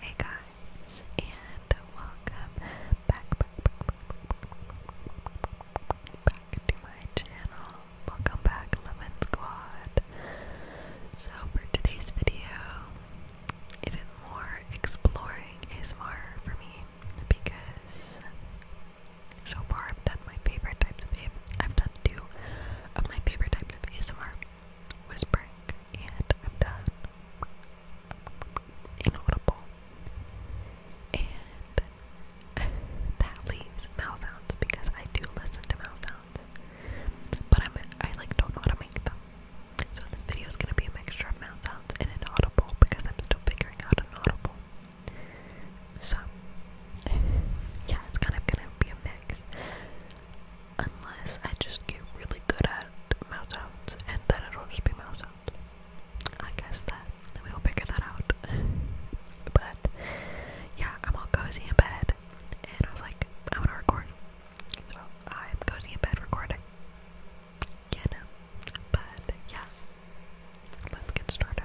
Hey guys, and welcome back, back, to my channel. Welcome back, Lemon Squad. So for today's video, it is more exploring ASMR for me because so far I've done my favorite types of ASMR. I've done two of my favorite types of ASMR whispering, and I'm done. Inaudible. And that leaves mouth sounds because I do listen to mouth sounds, but I'm I like don't know how to make them. So this video is gonna be a mixture of mouth sounds and inaudible because I'm still figuring out inaudible. So yeah, it's kind of gonna be a mix. Unless I just get really good at mouth sounds and then it'll just be mouth sounds. I guess that we will figure that out. but yeah, I'm all cozy in bed and I was like, I wanna record. So I'm cozy in bed recording. You But yeah. Let's get started.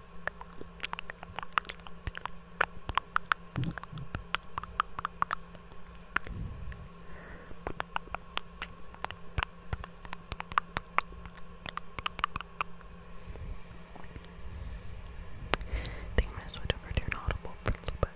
I think I'm gonna switch over to an audible for a little bit.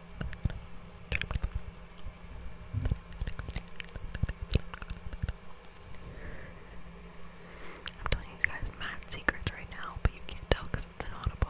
I'm telling you guys mad secrets right now, but you can't tell because it's inaudible.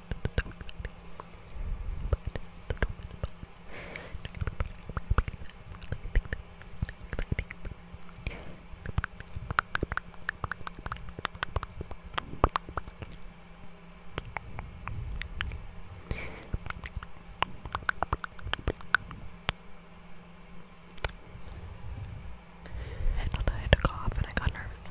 I thought that and I got nervous.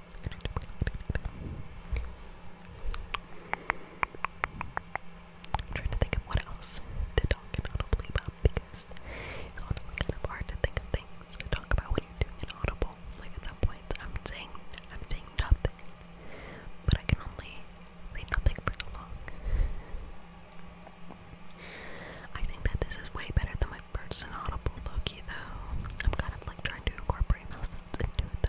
I'm trying to think of what else to talk about because it's kind of hard to think of things to talk about when you're doing inaudible. Like at some points, I'm saying I'm saying nothing, but I can only say nothing for so long. I think that this is way better than my first inaudible Loki, though. I'm kind of like trying to incorporate those into it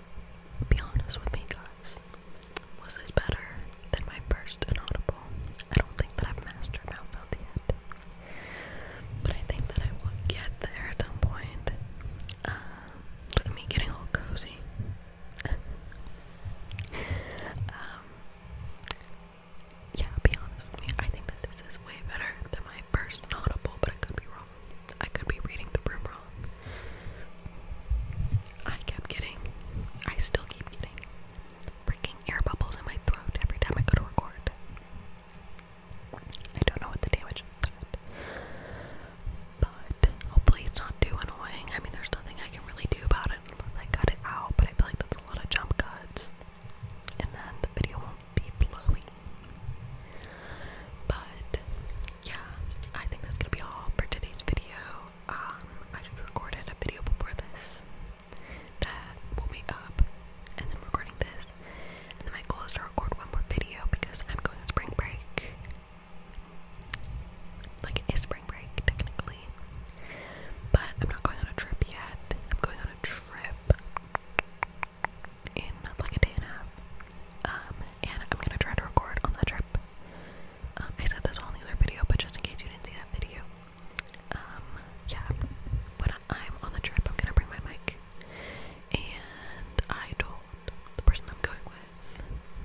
Be honest with me, guys. Was this better than my first inaudible? I don't think that I've mastered mouth notes yet. But I think that I will get there at some point. Um, look at me getting all cozy. um, yeah, be honest with me. I think that this is way better than my first audible, but I could be wrong. I could be reading the room wrong. I kept getting, I still keep getting freaking air bubbles in my throat every time I go to record. I don't know what the damage is but hopefully it's not too annoying. I mean, there's nothing I can really do about it unless I cut it out, but I feel like that's a lot of jump cuts. And then the video won't be blowing. But yeah, I think that's gonna be all for today's video. Um, I just recorded a video before this that will be up, and then recording this, then my goal to record one more video because I'm going on spring break. Like it is spring break technically, but I'm not going on a trip yet. I'm going on a trip in like a day and a half. Um, and I'm gonna try to record on that trip. Um, I said this on the other video, but just in case you didn't see that video, um, yeah. When I'm on the trip, I'm gonna bring my mic, and I told the person I'm going with.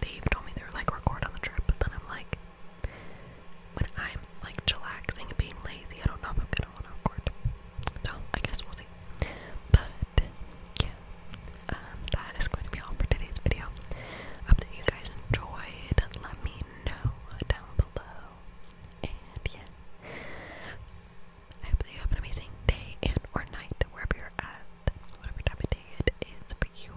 They've told me they're like record on the trip, but then I'm like, when I'm like chillaxing and being lazy, I don't know if I'm gonna want to record. So I guess we'll see. But yeah, um, that is going to be all for today's video. I hope that you guys enjoyed. Let me know down below. And yeah, I hope that you have an amazing day and or night wherever you're at, whatever time of day it is for you.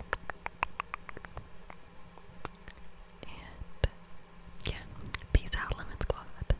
And yeah, peace out, Lemon Squad.